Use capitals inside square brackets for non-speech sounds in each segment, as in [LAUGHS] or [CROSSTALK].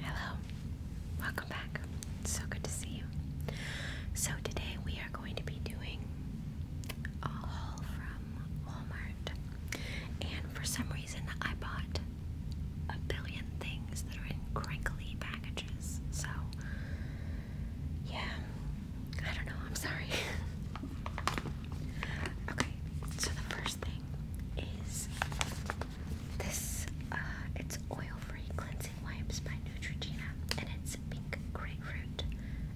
Hello, welcome back. so good to see you. So, today we are going to be doing a haul from Walmart. And for some reason, I bought a billion things that are in crinkly packages. So, yeah, I don't know, I'm sorry. [LAUGHS] okay, so the first thing is this. Uh, it's oil-free cleansing wipes by Neutrogena, and it's pink grapefruit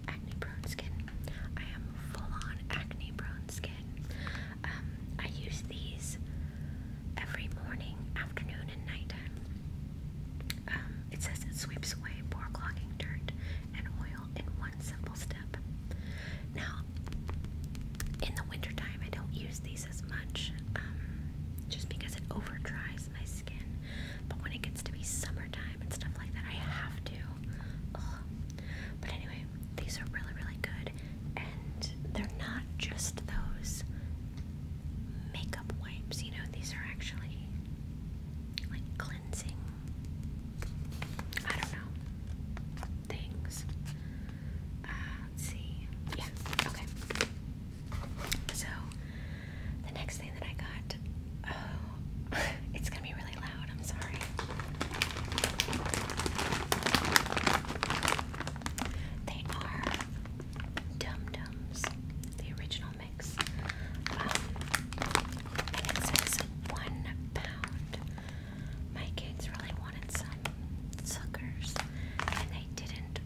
acne-prone skin. I am full-on acne-prone skin. Um, I use these every morning, afternoon, and nighttime. Um, it says it sweeps away pore clogging dirt and oil in one simple step. Now, in the wintertime, I don't use these as much um, just because it over dries my skin. But when it gets to be summertime and stuff like that, I have to. But anyway, these are really, really good. And they're not just those makeup wipes, you know, these are actually like cleansing, I don't know, things. Uh, let's see. Yeah, okay. So, the next thing that I got. Oh, [LAUGHS] it's gonna be really loud. I'm sorry. They are Dum Dums, the original mix. Um, and it says one pound my kids really wanted some suckers, and they didn't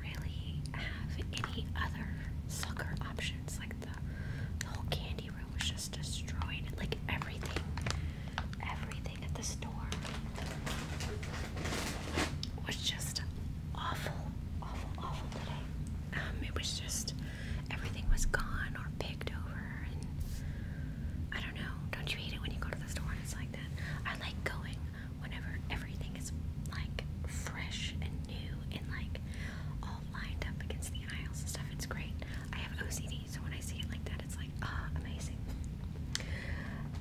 really have any other sucker options. Like the, whole candy room was just destroyed. Like everything, everything at the store was just awful, awful, awful today. Um, it was just everything was gone or picked over and I don't know. Don't you hate it when you go to the store and it's like that? I like going whenever everything is like fresh and new and like all lined up against the aisles and stuff. It's great. I have OCD, so when I see it like that, it's like, ah, oh, amazing.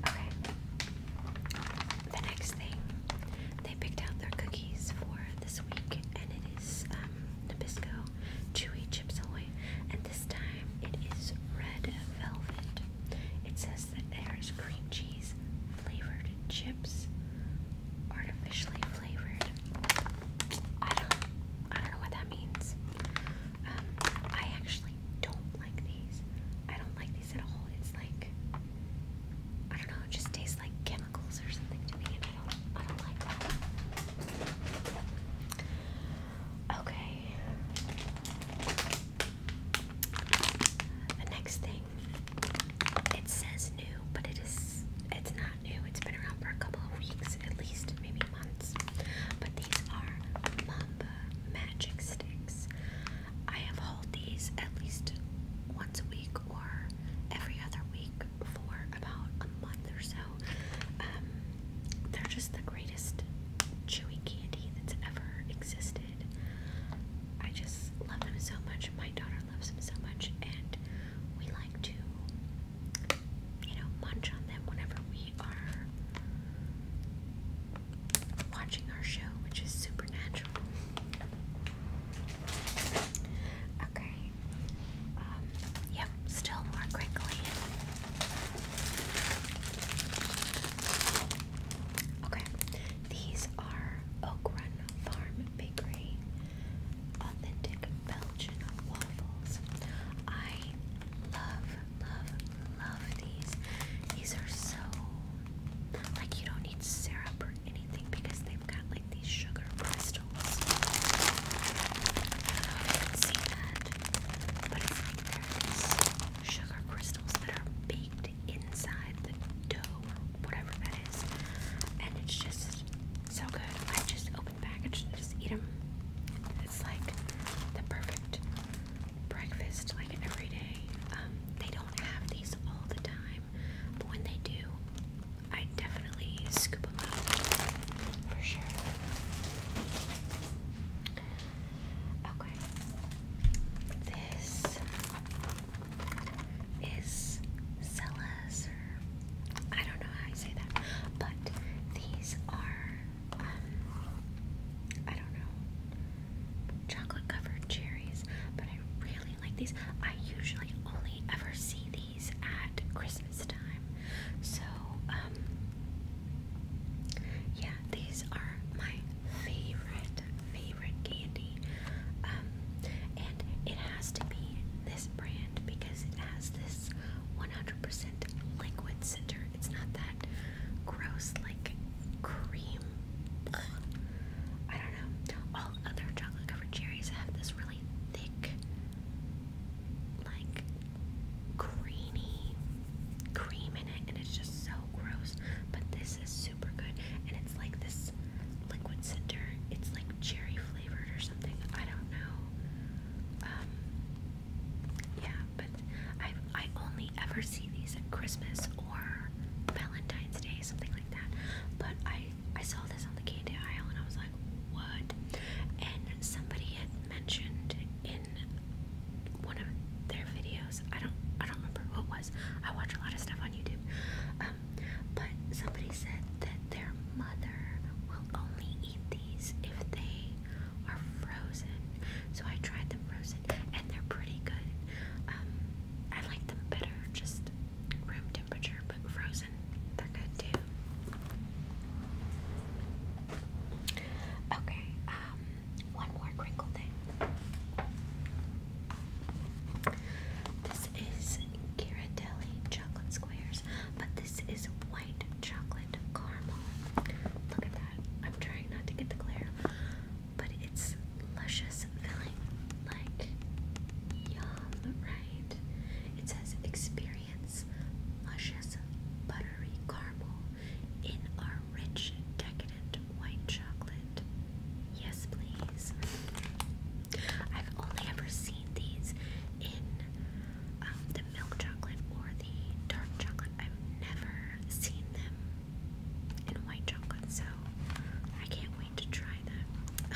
Okay. The next thing, they picked out their cookies for this week, and it is um, Nabisco Chewy Chips away, and this time it is Red Velvet. It says that there is cream cheese, flavored chips, artificially flavored. I don't, I don't know what that means. Um, I actually don't like these. I don't like these at all. It's like, I don't know, it just tastes like chemicals or something to me. Okay. The next thing, it says new, but it is, it's not new. It's been around for a couple of weeks, at least maybe months. But these are Mamba magic sticks. I have hauled these at least once a week or every other week for about a month or so. So, um, they're just the greatest chewy candy that's ever existed. I just love them so much. My daughter loves them so much, and we like to, you know, munch on them whenever we are watching our show, which is supernatural. Okay, um, yep, still more crinkly. Okay, these are Oak Run Farm Bakery authentic Belgian waffles. I love, love, love these. These are so like you don't need syrup or anything because they've got like these sugar crystals. see that, but it's there's sugar crystals that are baked inside the dough or whatever that is, and it's just so good. I just open the package and just eat them. It's like the perfect breakfast, like every day. Um, they don't have these all the time, but when they do, I definitely scoop them up for sure. Okay, this is Celas, I don't know how you say that, but these are, um, I don't know, chocolate covered cherries, but I really like these. I usually only ever see these at Christmas time. So, um, yeah, these are my favorite, favorite candy. Um, and it has to be this brand because it has this 100% liquid center. It's not that gross, like cream. I don't know. All other chocolate covered cherries have this really thick like greeny cream in it, and it's just so gross. But this is super good, and it's like this liquid cinder. It's like cherry flavored or something. I don't know. Um, yeah, but I I only ever see these at Christmas or Valentine's Day, something like that. But I I saw this on the candy aisle and I was like, what? And somebody had mentioned in one of their videos, I don't I don't remember what was. I watch a lot of stuff on YouTube. Um, but somebody said that their mother will only eat these if they are frozen. So I tried them frozen and they're pretty good. Um, I like them better just room temperature, but frozen. They're good too. Okay, um, one more crinkle thing. This is Ghirardelli chocolate squares, but this is white chocolate caramel. Look at that. I'm trying not to get the glare, but it's luscious filling. Like, yum, right? kind. It says experience luscious buttery caramel in our rich decadent white chocolate. Yes, please. I've only ever seen these in um, the milk chocolate or the dark chocolate. I've never seen them in white chocolate, so I can't wait to try that.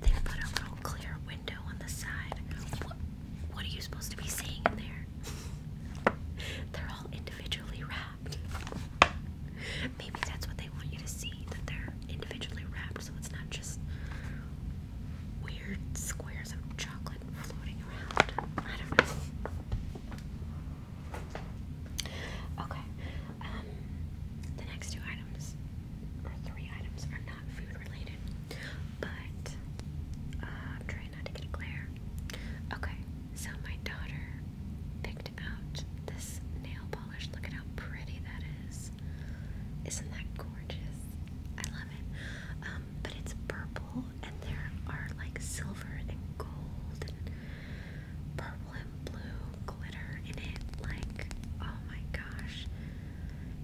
they put a little clear window on the side. what are you supposed to be seeing in there? [LAUGHS] they're all individually wrapped. Maybe that's what they want you to see, that they're individually wrapped, so it's not just weird squares of chocolate floating around. I don't know. Okay, um, the next two items, or three items, are not food related, but uh, I'm trying not to get a glare. Okay, so my daughter picked out this nail polish. Look at how pretty that is. Isn't that gorgeous? I love it. Um, but it's purple, and there are like silver and gold and purple and blue glitter in it. Like, oh my gosh.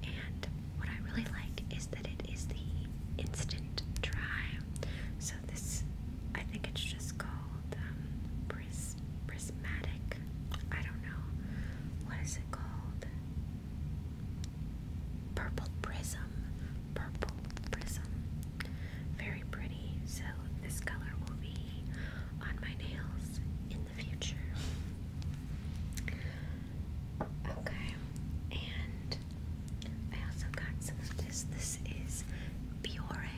And what I really like is that it is the instant dry. So, this, I think it's just called um, Prismatic. I don't know. What is it called? Purple Prism. Purple Prism. Very pretty. So, this color will be on my nails in the future. Okay, and I also got this. This is Biore.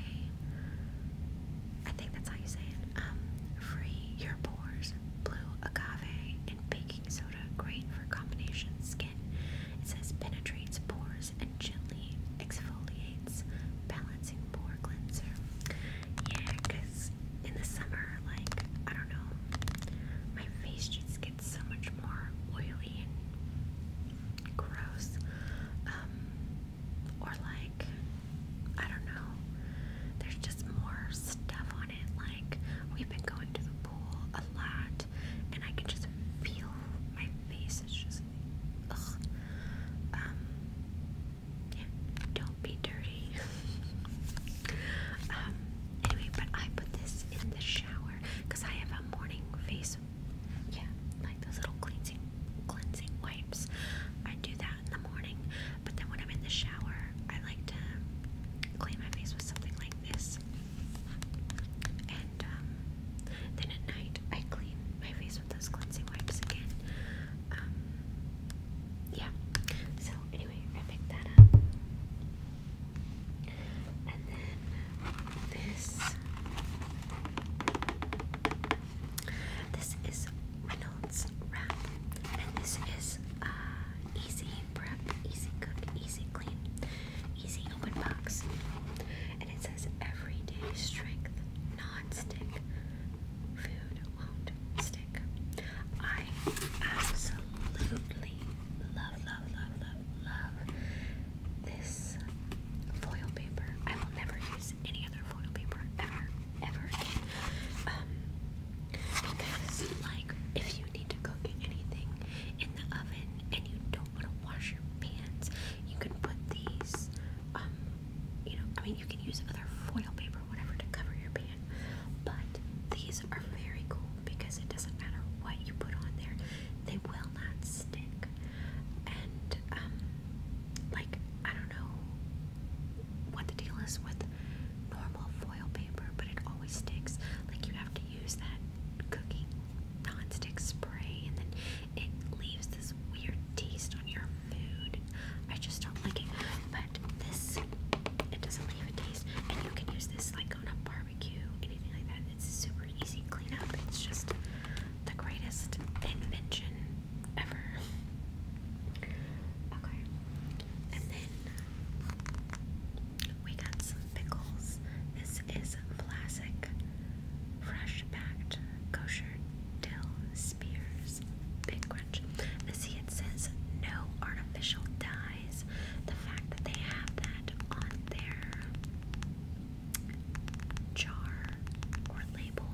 I think that's how you say it. Um, free your pores, blue agave, and baking soda. Great for combination skin. It says penetrates pores and gently exfoliates, balancing pore cleanser. Yeah, in the summer, like, I don't know, my face just gets so much more oily and gross. Um, or, like, I don't know, there's just more stuff on it. Like, we've been going to the pool a lot, and I can just feel my face is just um, don't be dirty. [LAUGHS] Um, anyway, but I put this in the shower because I have a morning face. Yeah, like those little cleansing, cleansing wipes. I do that in the morning, but then when I'm in the shower, I like to clean my face with something like this. And um, then at night, I clean my face those cleansing wipes again. Um, yeah. So anyway, wrapping that up. And then this. This is Reynolds Wrap. And this is uh, easy prep, easy cook, easy clean, easy open box it says everyday strength non-stick food won't stick. I absolutely love, love, love, love, love this foil paper. I will never use any other foil paper ever, ever again. Um, because, like, if you need to cook anything in the oven and you don't want to wash your pans, you can put these, um, you know, I mean, you can use other foil paper, whatever, to cover your pan. But these are very cool because it doesn't matter what you put on there, they will not stick. And, um, like, I don't know what the deal is with normal foil paper, but it always sticks. Like, you have to use that cooking non-stick spray and then it leaves this weird taste on your food. I just don't like it. But this, it doesn't leave a taste. And you can use this like on a barbecue, anything like that. It's super easy cleanup. It's just the greatest invention ever. Okay. And then we got some pickles is classic fresh packed kosher dill spears big crunch. And see, it says no artificial dyes. The fact that they have that on their jar or label,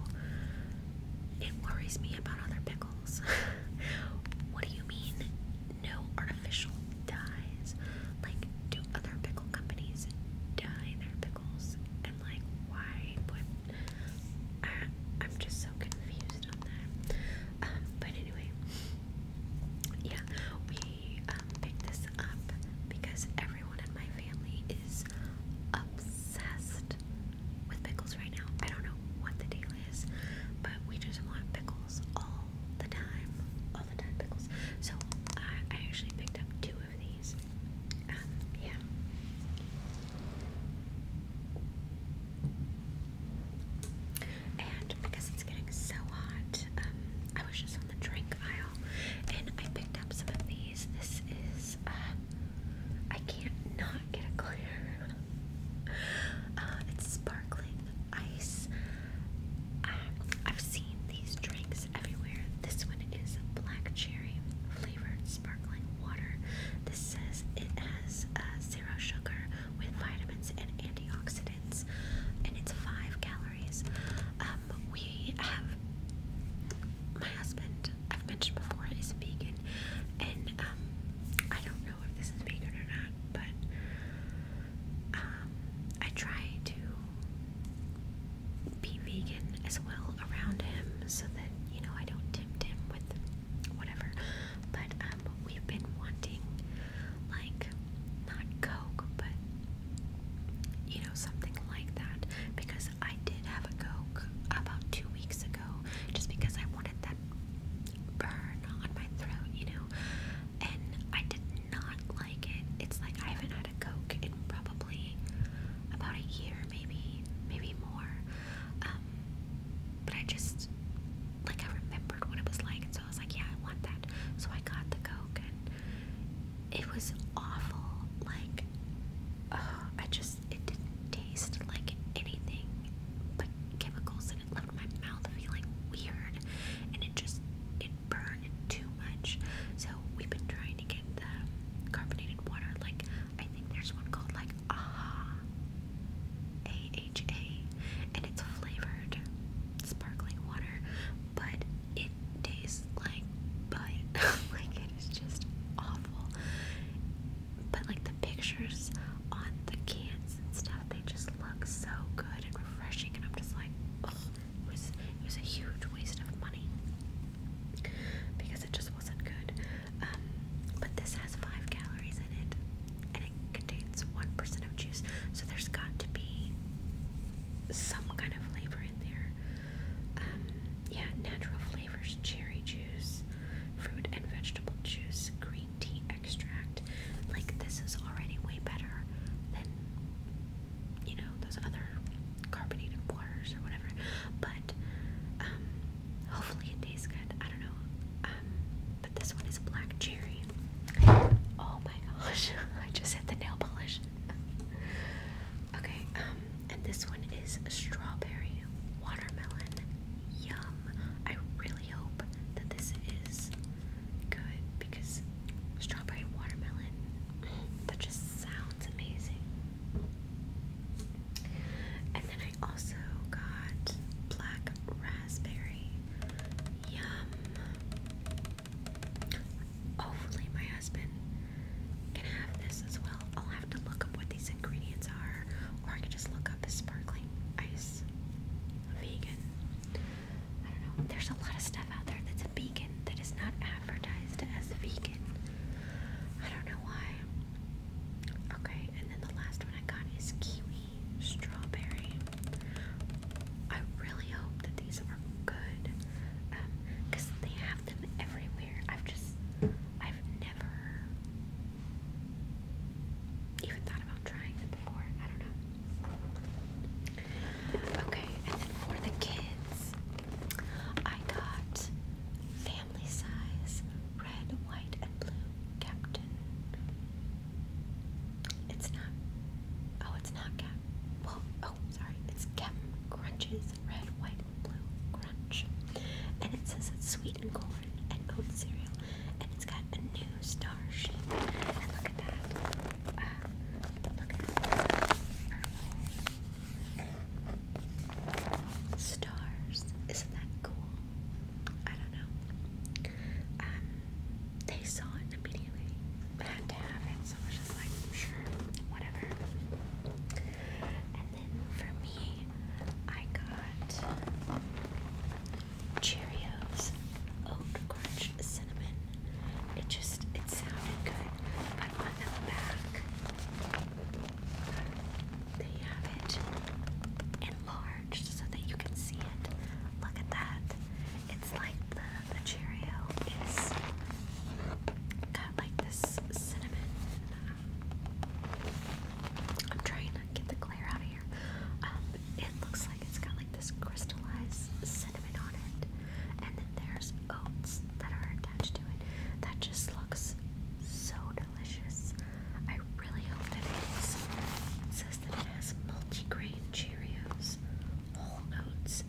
it worries me about other pickles. [LAUGHS] what do you mean, no artificial dye? Like, do other pickle companies dye their pickles? And like, why I, am just so confused on that. Um, but anyway, yeah, we um, picked this up because everyone in my family is obsessed with pickles right now. I don't know what the deal is, but we just want pickles all the time, so I actually picked up two of these. Um, yeah. And because it's getting so hot, um, I was just on the drink aisle and I picked up some of these. This is, um, I can't not get a clear. [LAUGHS] Uh, it's sparkling ice Ah, I've seen these drinks everywhere. This one is black cherry flavored sparkling water. This says it has uh, zero sugar with vitamins and antioxidants, and it's five calories. Um, we have my husband. I've mentioned before is vegan, and um, I don't know if this is vegan or not, but um, I try to be vegan as well around him so that, you know, I don't tempt him with whatever. But um, we've been wanting, like, not Coke, but, you know, something like that. Because I did have a Coke about two weeks ago just because I wanted that burn on my throat, you know. And I did not like it. It's like I haven't had a Coke in probably about a year, maybe, maybe more. Um, but I just, like, I remembered what it was like, and so I was like, yeah, I want that. So I got the Coke, and it was awful. Like, I just, it didn't taste like anything but chemicals, and it left my mouth feeling weird, and it just, it can burn too much. So we've been trying to get the carbonated water. Like I think there's one called like Aha, A H A, and it's flavored sparkling water, but it tastes like butt. [LAUGHS] like it is just awful. But like the pictures on the cans and stuff, they just look so good and refreshing, and I'm just like, oh it was, it was a huge waste of money because it just wasn't good. Um, but this has five calories in it, and it contains one percent of juice, so there's got to be some kind of flavor in there. Um, yeah, natural flavors: cherry juice, fruit and vegetable juice, green tea extract. Like this is already way better than you know those other carbonated waters or whatever. But um, hopefully it tastes good. I don't know. Um, but this one is black cherry. Oh my gosh! [LAUGHS] I just hit the nail polish. [LAUGHS] okay. Um, and this one is strawberry watermelon. Yum! I really hope that this is good because strawberry watermelon, that just sounds amazing. And then I also got black raspberry. Yum. Hopefully, my husband can have this as well. I'll have to look up what these ingredients are, or I can just look up the sparkling ice vegan. I don't know. There's a lot of stuff out there that's a vegan that is not advertised as vegan. I don't know why. Okay, and then the last one I got is kiwi strawberry. I really hope that these are good because um, they have them everywhere. I've just, I've never even thought about trying it before. I don't know. Okay, and then for the kids, I got family size red, white, and blue Captain. It's not. Oh, it's not Cap. Well, oh, sorry. It's Cap Crunches Red, White, and Blue Crunch. And it says it's sweetened corn and oat cereal and it's got a new star shape. And look at that. Uh, look at that. Stars. Isn't that cool? I don't know. Um, they saw it had to have it, so I was just like, sure, whatever. And then for me, I got Cheerios, oat crunch, cinnamon. It just it sounded good, but on the back they have it enlarged so that you can see it. Look at that. It's like the the Cheerio is got like this cinnamon. I'm trying to get the glare out of um, it looks like it's got like this crystallized cinnamon on it, and then there's oats that are attached to it. That just looks so delicious. I really hope that it is. says that it has multigrain Cheerios, whole oats,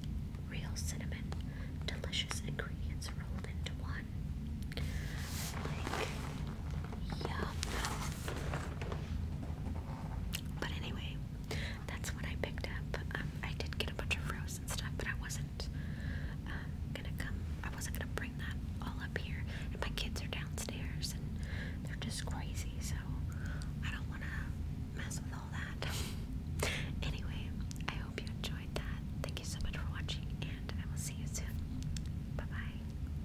real cinnamon, delicious ingredients rolled into one. Like Yum. But anyway, that's what I picked up. Um, I did get a bunch of frozen stuff, but I wasn't um, gonna come. I wasn't gonna bring that all up here. And my kids are downstairs, and they're just crazy, so I don't wanna mess with all that. [LAUGHS] anyway, I hope you enjoyed that. Thank you so much for watching, and I will see you soon. Bye bye.